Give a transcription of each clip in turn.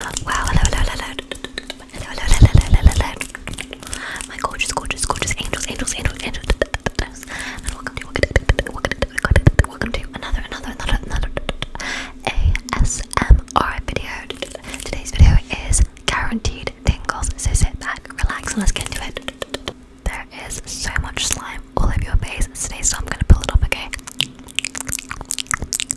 my gorgeous, gorgeous, gorgeous angels, angels, angels, angels, and welcome to, welcome to another, another, another, another ASMR video. Today's video is guaranteed tingles, so sit back, relax, and let's get into it. There is so much slime all over your face today, so I'm gonna pull it off, okay?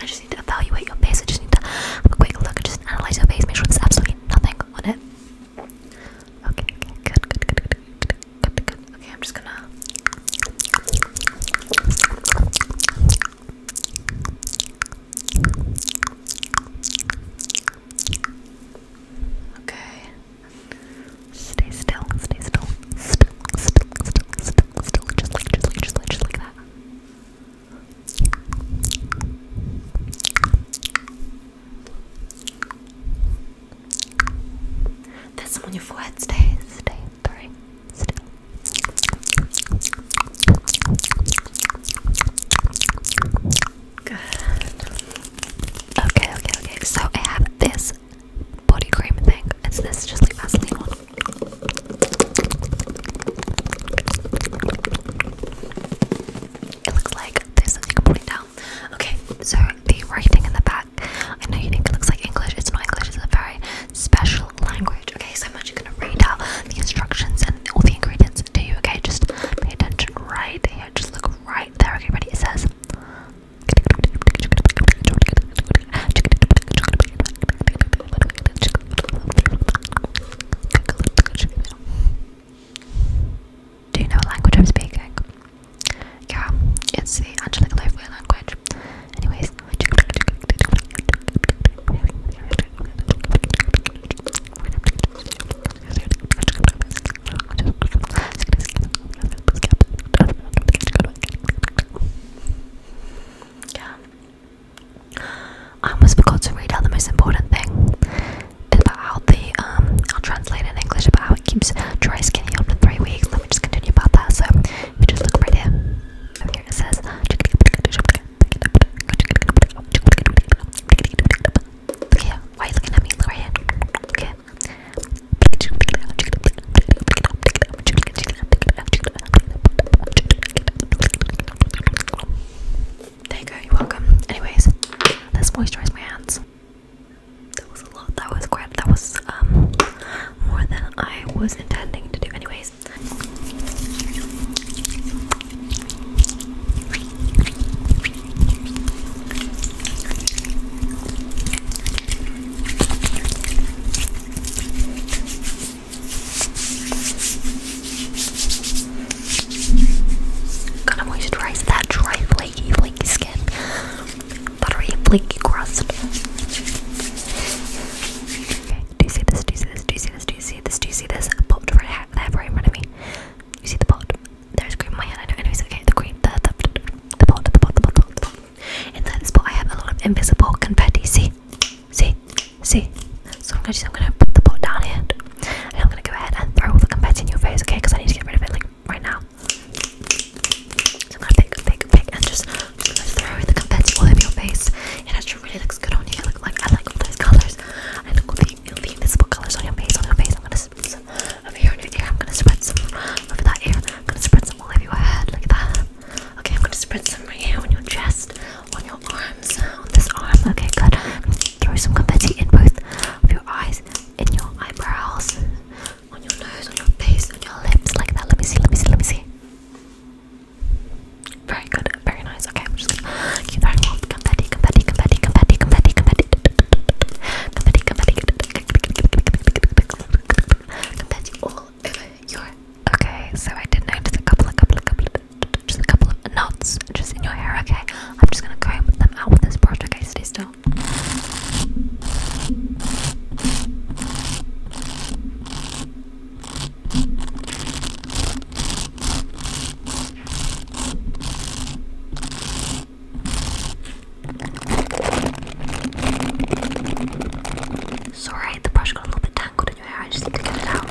I just need to evaluate your face. I just need to have a quick look. I just analyze your face. Make sure there's absolutely nothing on it. Okay, good, good, good, good, good, good, good. Okay, I'm just gonna. Okay. Stay still, stay still, still, still, still, still, still, just like, just like, just like, just like that. There's some on your forehead. Stay, stay, sorry, stay. Good. Okay, okay, okay. So I have this body cream thing. It's this just like Vaseline one. It looks like there's something you down. Okay, so the writing in the back. I know you think it looks like English. It's not English. It's a very special language. Okay, so I'm actually gonna read out the instructions and all the ingredients to you. Okay, just pay attention right here. Just look right there. Okay, ready? It says. Do you know what language I'm speaking? Yeah, it's the Angelic Lofeway language. Anyways, yeah, I almost forgot to read out the most important thing about how the um I'll translate in English about how it keeps dry skin healed for three weeks. Let me just continue about that. So if you just look right here, here it says why are you looking at me? Look right here. There you go, you're welcome. Anyways, let's moisturize my hands. That was a lot, that was quite, that was um, more than I was intending to do, anyways. Gonna moisturize that dry, flaky, flaky skin. Buttery, flaky crust. Okay, do you see this? Do you see this? Do you see this? Do you see this? Do you see this? Popped right out there, right in front of me. You see the pot? There's cream in my hand. I know, it's okay. The green, the, the, the pot, the pot, the pot, the pot. The pot. Inside this pot, I have a lot of invisible confetti. See, see, see. So I'm gonna I'm gonna put the pot down here, and I'm gonna go ahead and throw all the confetti in your face, okay? Because I need to get rid of it like right now. I'm gonna pick, pick, pick, and just, throw the confetti all over your face. It actually really looks good on you. Look like I like all those colours. I look all the, all the invisible colours on your face, on your face. I'm gonna spread some over here on your ear. I'm gonna spread some over that ear. I'm gonna spread some all over your head like that. Okay, I'm gonna spread some right here on your chest on your arms, on this arm. Okay, good. Throw some confetti in both of your eyes, in your eyebrows, on your nose, on your face, on your lips, like that. Let me see, let me see, let me see. Very good, very nice. Okay, I'm just gonna keep throwing off confetti, confetti, confetti, confetti, confetti, confetti, confetti, confetti, confetti, all over your. Okay, so I did notice a couple, just a couple of knots just in your hair, okay? I'm just gonna comb them out with this brush, okay? Stay still. Sorry, the brush got a little bit tangled in your hair. I just need to get it out.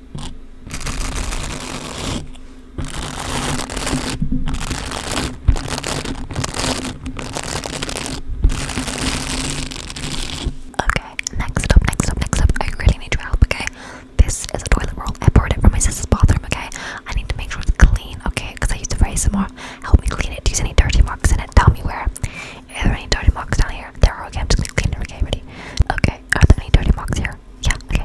Okay, next up, next up, next up. I really need your help, okay? This is a toilet roll. I borrowed it from my sister's bathroom, okay? I need to make sure it's clean, okay? Because I used to raise some more. Help me clean it. Do you see any dirty marks in it? Tell me where. Are there any dirty marks down here? There are, okay, I'm just gonna clean it, ready? Okay, are there any dirty marks here? Yeah, okay.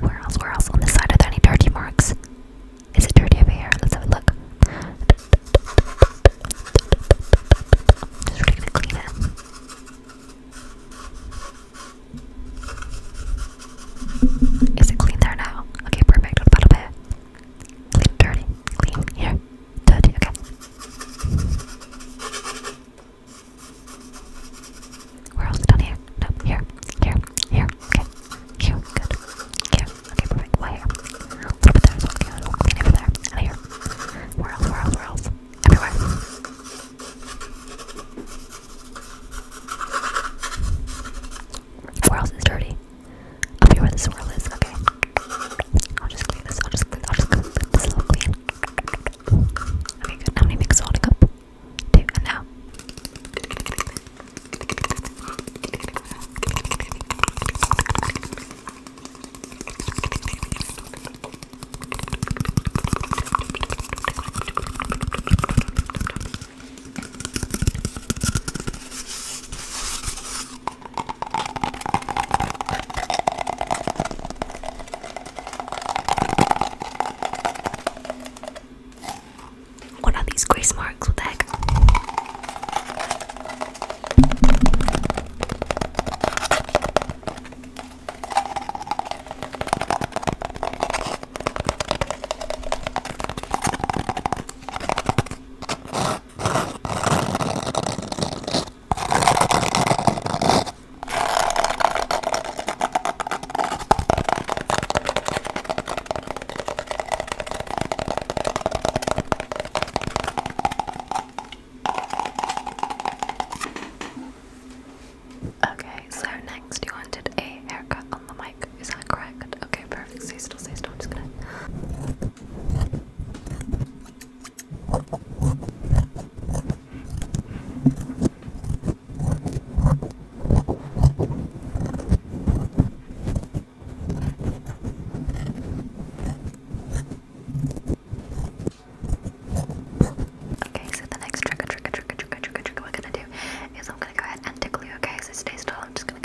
Where else, where else? On this side, are there any dirty marks? Is it dirty over here? Let's have a look. Just really gonna clean it. Is it clean there now? Okay, perfect. What about bit? Clean, dirty, clean, here. 30, okay. Where else? Down here? No, here, here, here, okay. Here, good. Here, okay, perfect. Why here? A little bit there as well, okay, a little bit over there, here. Where else, where else, where else? Everywhere. Where else is dirty? I'll be where the swirl is, okay. I'll just clean this, I'll just clean, I'll just clean this little clean. Okay, good. How many mix to up? Two, and now. What are these grace marks? What the heck? Okay, so next you wanted a haircut on the mic, is that correct? Okay, perfect. Stay still, stay still. I'm just gonna. Okay, so the next trigger, trigger, trigger, trigger, trigger, trigger we're gonna do is I'm gonna go ahead and tickle you, okay? So stay still, I'm just gonna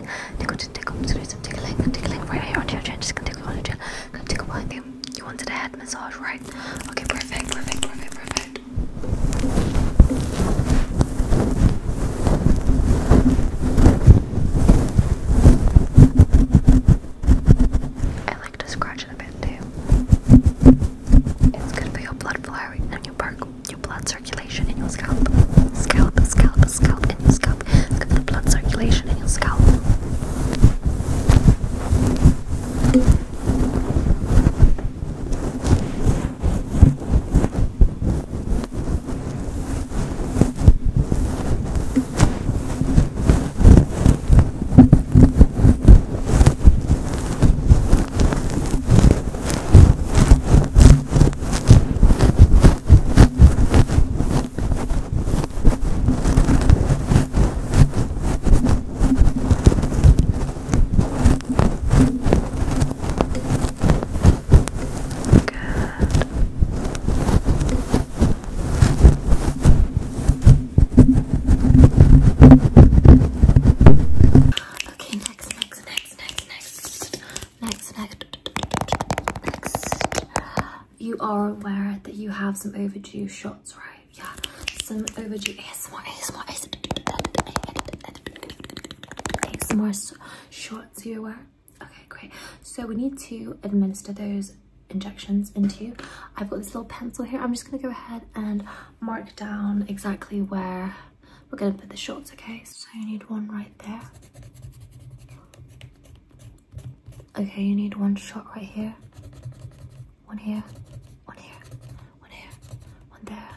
like Nico just take up today some tickling right here onto your chin, just gonna tickle on your chin, gonna tickle behind you. You wanted a head massage, right? Okay, perfect, perfect, perfect, perfect. I like to scratch a bit too. It's good for your blood flowing and your blood circulation in your scalp. Scalp, scalp, scalp, and your scalp up. Look at the blood circulation in your scalp. Okay, next, next, next, next, next, next, next, next you are aware that you have some overdue shots, right? Yeah, some overdue ASMR, ASMR, Some more shots, you aware? Okay, great. So we need to administer those injections into. I've got this little pencil here. I'm just gonna go ahead and mark down exactly where we're gonna put the shots, okay? So you need one right there. Okay, you need one shot right here. One here. One here. One here. One there.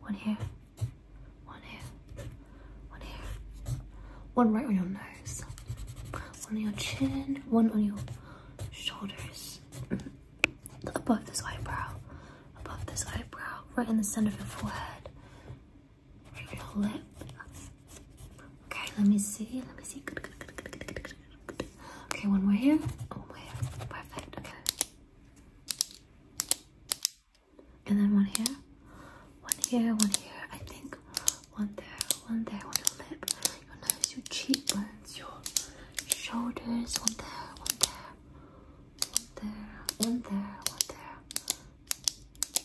One here. One here. One here. One right on your nose. One on your chin. One on your shoulders. Above this eyebrow. Above this eyebrow. Right in the center of your forehead your lip. Okay, let me see. Let me see. Okay, one more here. One oh, more here. Perfect. Okay. And then one here. One here, one here. I think one there, one there, one your lip, your nose, your cheekbones, your shoulders. One there, one there, one there, one there, one there.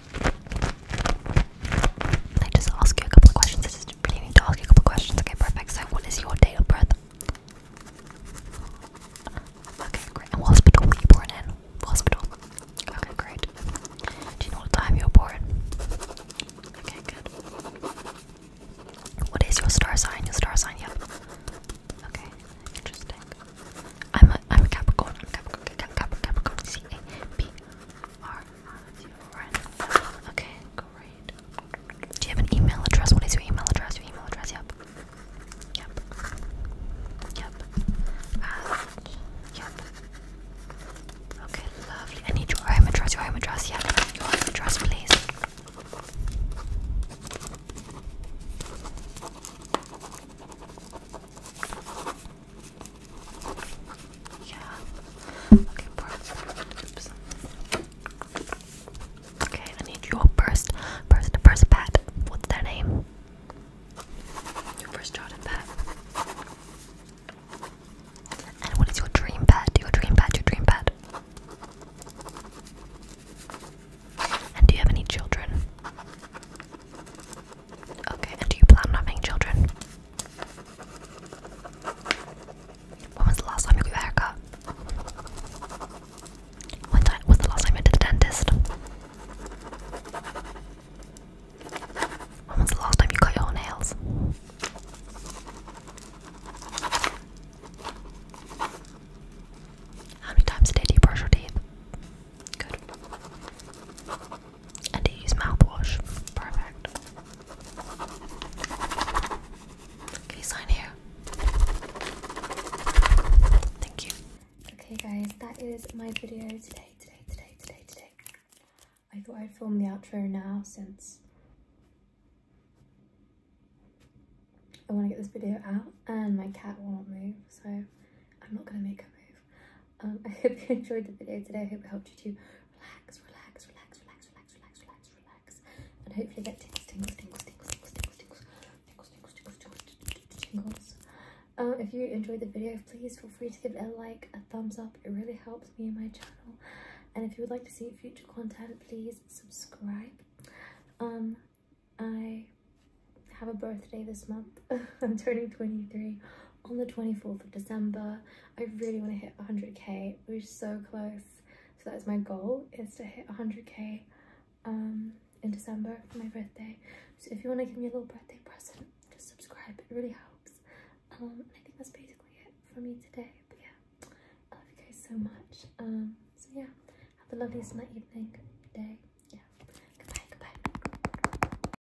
I just ask you a couple of questions. I just really need to ask you a couple of questions. Okay, perfect. So, what is your date of birth? Okay, great. And what hospital Where you born in? hospital? Okay, great. Do you know what time you were born? Okay, good. What is your star sign? Your star sign, yep. Okay, interesting. I'm a I'm a Capricorn. Capricorn. Capricorn. C A P are at your end. Okay, great. Do you have an email address? What is your email address? Your email address, yep. Yep. Yep. And yep. Okay, lovely. I need your home address, your home address, yeah. Can I have your home address, please? Yeah. Okay, I need your first, first, first pet. What's their name? Your first childhood pet. And what is your dream pet? Your dream pet, your dream pet. And do you have any children? Okay, and do you plan on having children? When was the last time you got a haircut? When was the last time you went to the dentist? When was the last time you cut your nails? How many times a day do you brush your teeth? Good. And you use mouthwash. Perfect. Okay, sign here. Thank you. Okay, guys, that is my video today, today, today, today, today. I thought I'd film the outro now since I want to get this video out and my cat will not move, so I'm not going to make a move. I hope you enjoyed the video today. I hope it helped you to relax, relax, relax, relax, relax, relax, relax, relax, and hopefully get tingles, tingles, tingles, tingles, tingles, tingles, tingles, tingles, tingles, tingles, tingles, if you enjoyed the video, please feel free to give it a like, a thumbs up. It really helps me and my channel. And if you would like to see future content, please subscribe. I have a birthday this month. I'm turning 23 on the 24th of December. I really want to hit 100k. We're so close. So that's my goal is to hit 100k um, in December for my birthday. So if you want to give me a little birthday present, just subscribe. It really helps. Um, I think that's basically it for me today. But yeah, I love you guys so much. Um, so yeah, have the loveliest night, evening, day. Yeah. Goodbye, goodbye.